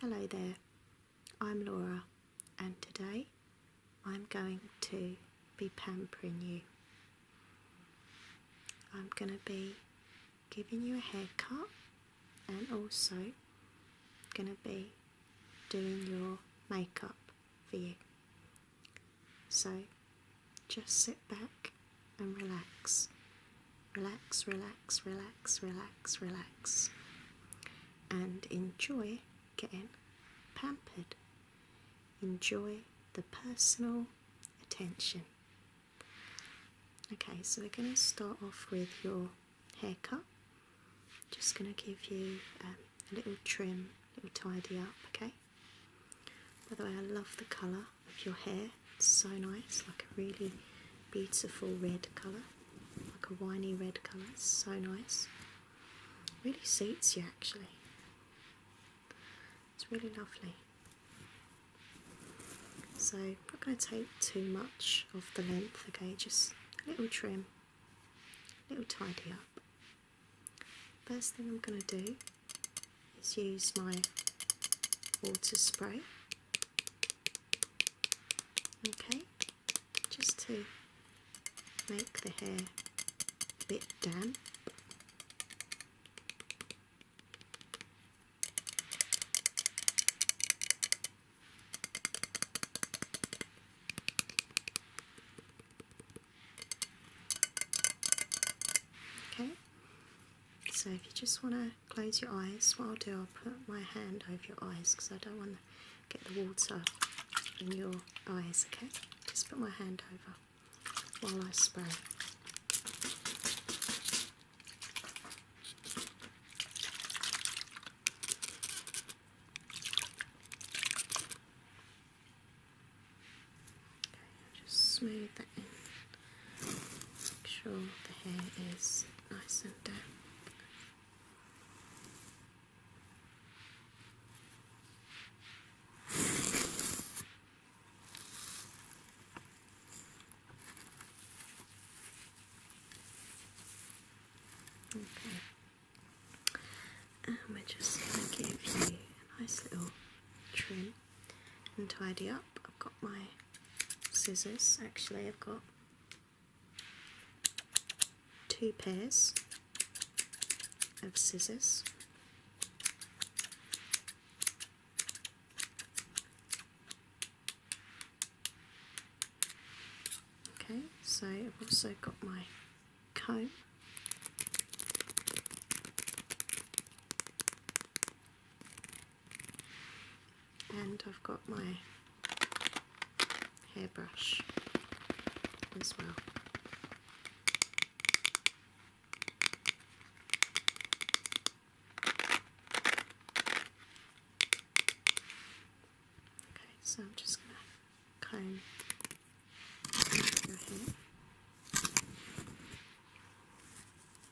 Hello there, I'm Laura, and today I'm going to be pampering you. I'm going to be giving you a haircut and also going to be doing your makeup for you. So just sit back and relax. Relax, relax, relax, relax, relax. And enjoy getting pampered. Enjoy the personal attention. Okay, so we're going to start off with your haircut. Just going to give you um, a little trim, a little tidy up, okay? By the way, I love the colour of your hair. It's so nice, like a really beautiful red colour, like a winey red colour. so nice. Really suits you actually. It's really lovely. So I'm not going to take too much of the length, okay, just a little trim, a little tidy up. First thing I'm going to do is use my water spray Okay, just to make the hair a bit damp. Okay, so if you just want to Close your eyes. What I'll do, I'll put my hand over your eyes because I don't want to get the water in your eyes, okay? Just put my hand over while I spray. Okay, just smooth that in. Make sure the hair is nice and damp. Okay, and we're just going to give you a nice little trim and tidy up. I've got my scissors actually, I've got two pairs of scissors okay so I've also got my comb and I've got my hairbrush as well. Okay, so I'm just going to comb your hair.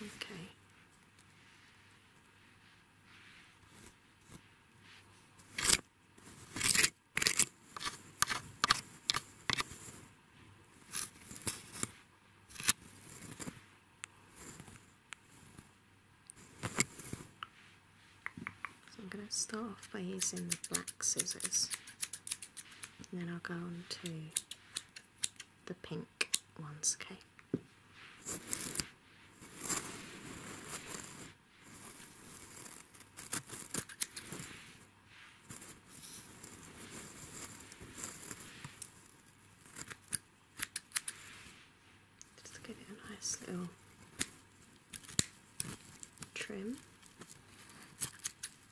Okay. So I'm going to start off by using the black scissors and then I'll go on to the pink ones, okay? Just give it a nice little trim.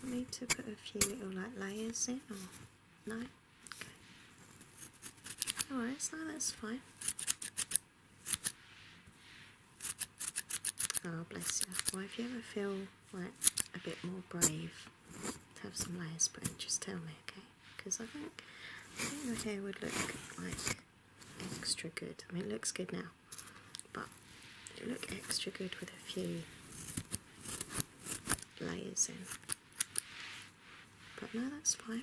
Do you want me to put a few little like layers in no? Okay. Alright, so that's fine. Oh, bless you. Well, if you ever feel like a bit more brave to have some layers put just tell me, okay? Because I think, I think the hair would look like extra good. I mean, it looks good now, but it look extra good with a few layers in. But no, that's fine.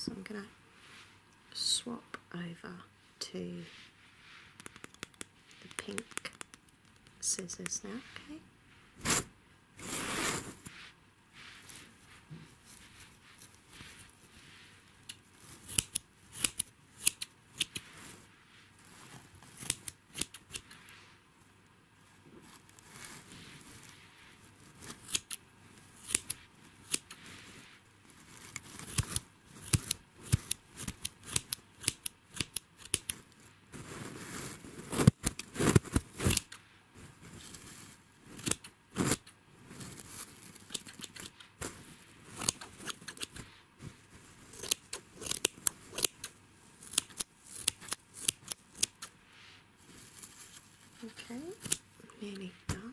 So I'm going to swap over to the pink scissors now, okay? Okay, nearly done.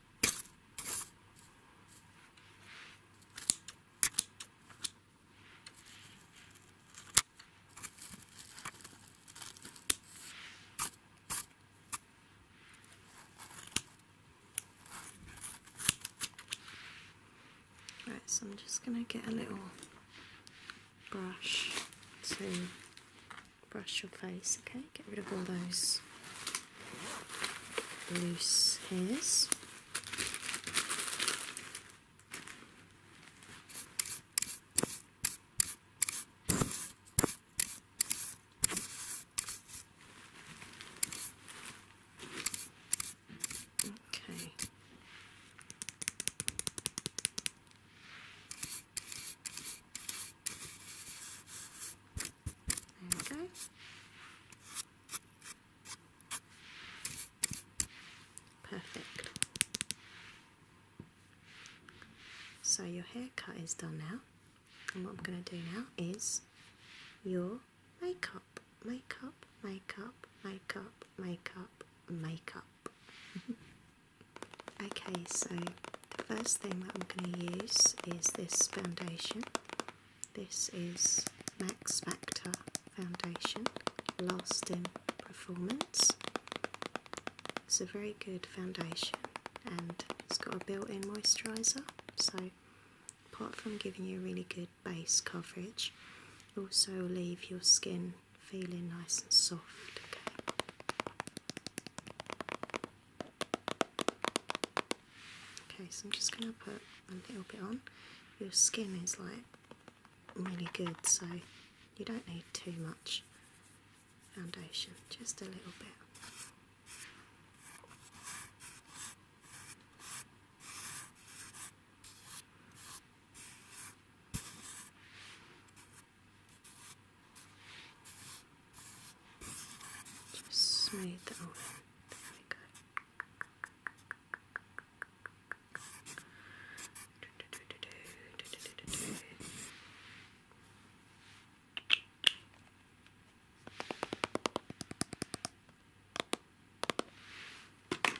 Right, so I'm just going to get a little brush to brush your face, okay? Get rid of all those loose hairs. Okay. There we go. Perfect. So your haircut is done now. And what I'm going to do now is your makeup, makeup, makeup, makeup, makeup, makeup. okay, so the first thing that I'm going to use is this foundation. This is Max Factor Foundation Lasting Performance. It's a very good foundation and it's got a built in moisturiser. So, apart from giving you a really good base coverage, also leave your skin feeling nice and soft. Okay, so I'm just going to put a little bit on. Your skin is like really good, so you don't need too much foundation, just a little bit. Just smooth the oven. There we go.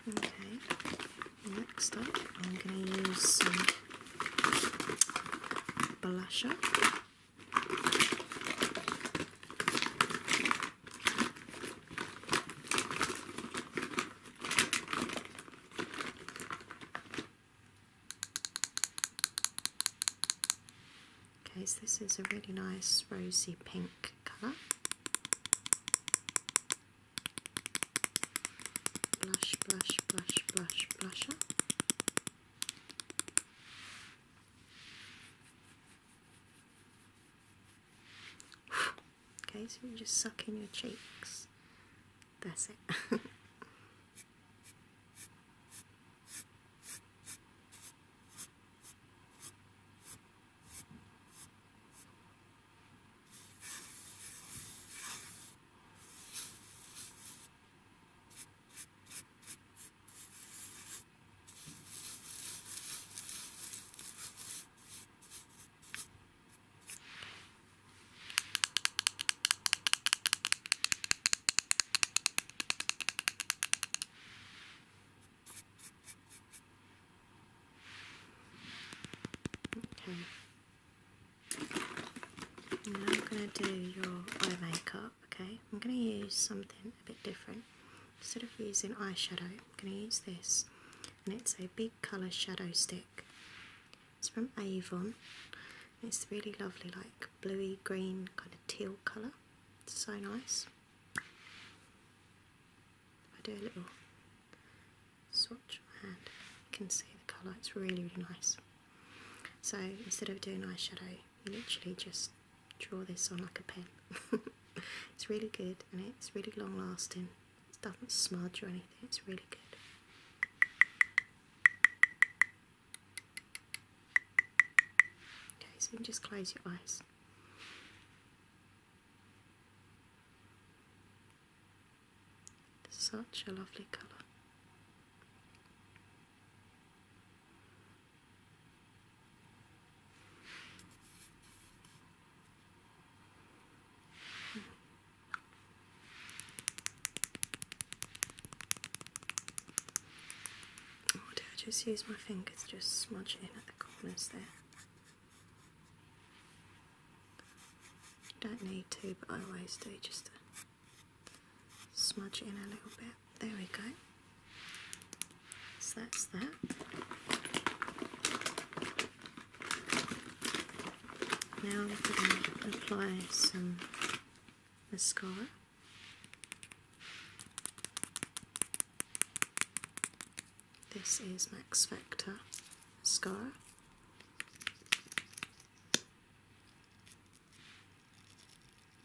Okay, next up I'm going to use some blusher. Okay, so this is a really nice rosy pink colour. Blush, blush, blush, blush, blusher. Okay, so you just suck in your cheeks. That's it. Okay. Now I'm gonna do your eye makeup okay? I'm going to use something a bit different. Instead of using eyeshadow, I'm going to use this, and it's a big colour shadow stick. It's from Avon, it's really lovely, like bluey green kind of teal colour. It's so nice. I do a little swatch with my hand, you can see the colour, it's really, really nice. So instead of doing eyeshadow, you literally just draw this on like a pen. it's really good and it's really long lasting. It doesn't smudge or anything, it's really good. Okay, so you can just close your eyes. Such a lovely colour. Oh, I just use my fingers to just smudge in at the corners there? Don't need to, but I always do just to smudge in a little bit. There we go. So that's that. Now I'm going to apply some mascara. This is Max Factor mascara.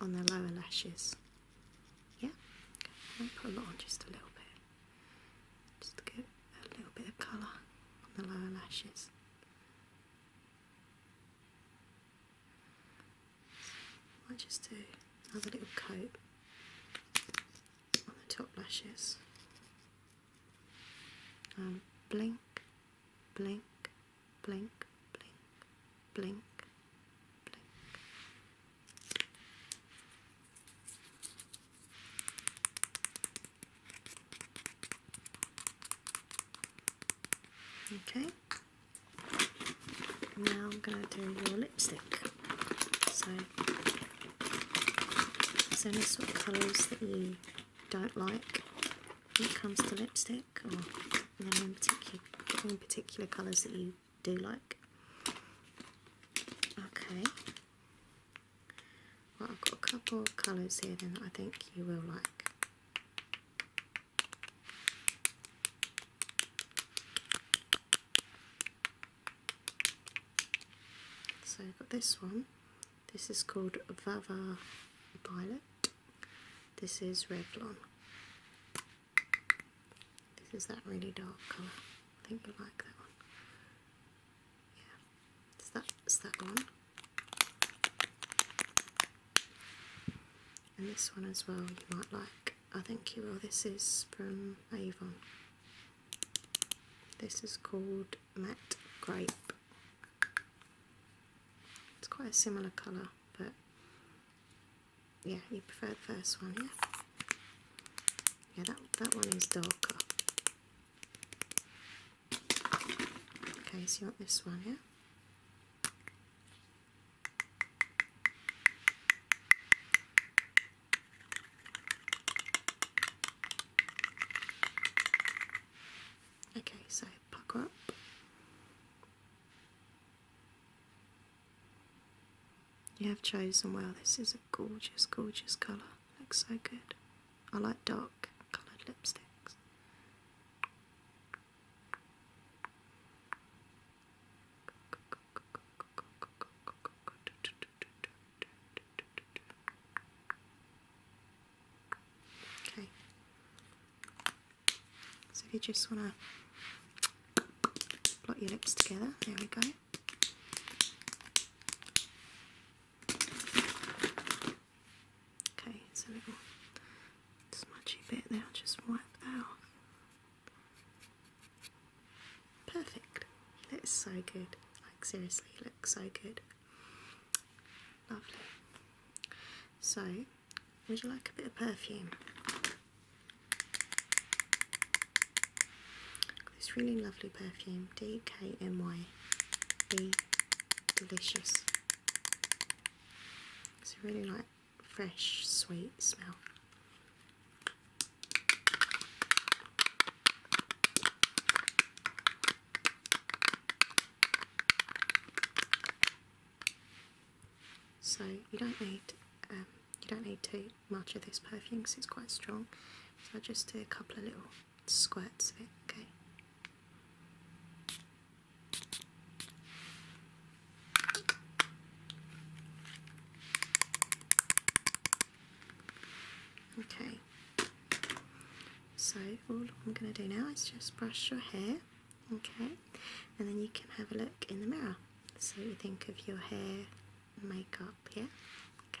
on the lower lashes. Yeah, okay. put a lot just a little bit, just to get a little bit of colour on the lower lashes. I'll just do another little coat on the top lashes. Um, blink, blink, blink, blink, blink, blink. Okay, now I'm going to do your lipstick. So, is there any sort of colours that you don't like when it comes to lipstick? like, or particular, any particular colours that you do like. Okay. Well, I've got a couple of colours here then that I think you will like. So I've got this one. This is called Vava Violet. This is Revlon. This is that really dark colour. I think you like that one. Yeah, it's that, that one. And this one as well, you might like. I think you will. This is from Avon. This is called Matte Grape. It's quite a similar colour but yeah, you prefer the first one, yeah? Yeah, that, that one is darker. Okay, so you want this one, yeah? Okay, so pucker up you have chosen well. This is a gorgeous, gorgeous colour. Looks so good. I like dark coloured lipsticks. Okay. So if you just want to blot your lips together, there we go. Okay, it's little smudgy bit there, just wipe that Perfect. That's so good. Like seriously, looks so good. Lovely. So would you like a bit of perfume? This really lovely perfume, DKNY. delicious. It's a really like fresh, sweet smell. So you don't need um, you don't need too much of this perfume because it's quite strong. So just do a couple of little squirts of it. Okay. Okay, so all I'm going to do now is just brush your hair okay and then you can have a look in the mirror so you think of your hair makeup yeah Okay.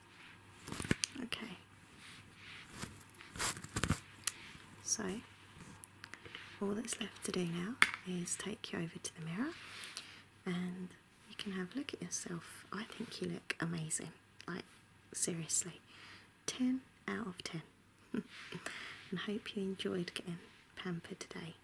Okay. So, all that's left to do now is take you over to the mirror and you can have a look at yourself. I think you look amazing. Like, seriously. 10 out of 10. and hope you enjoyed getting pampered today.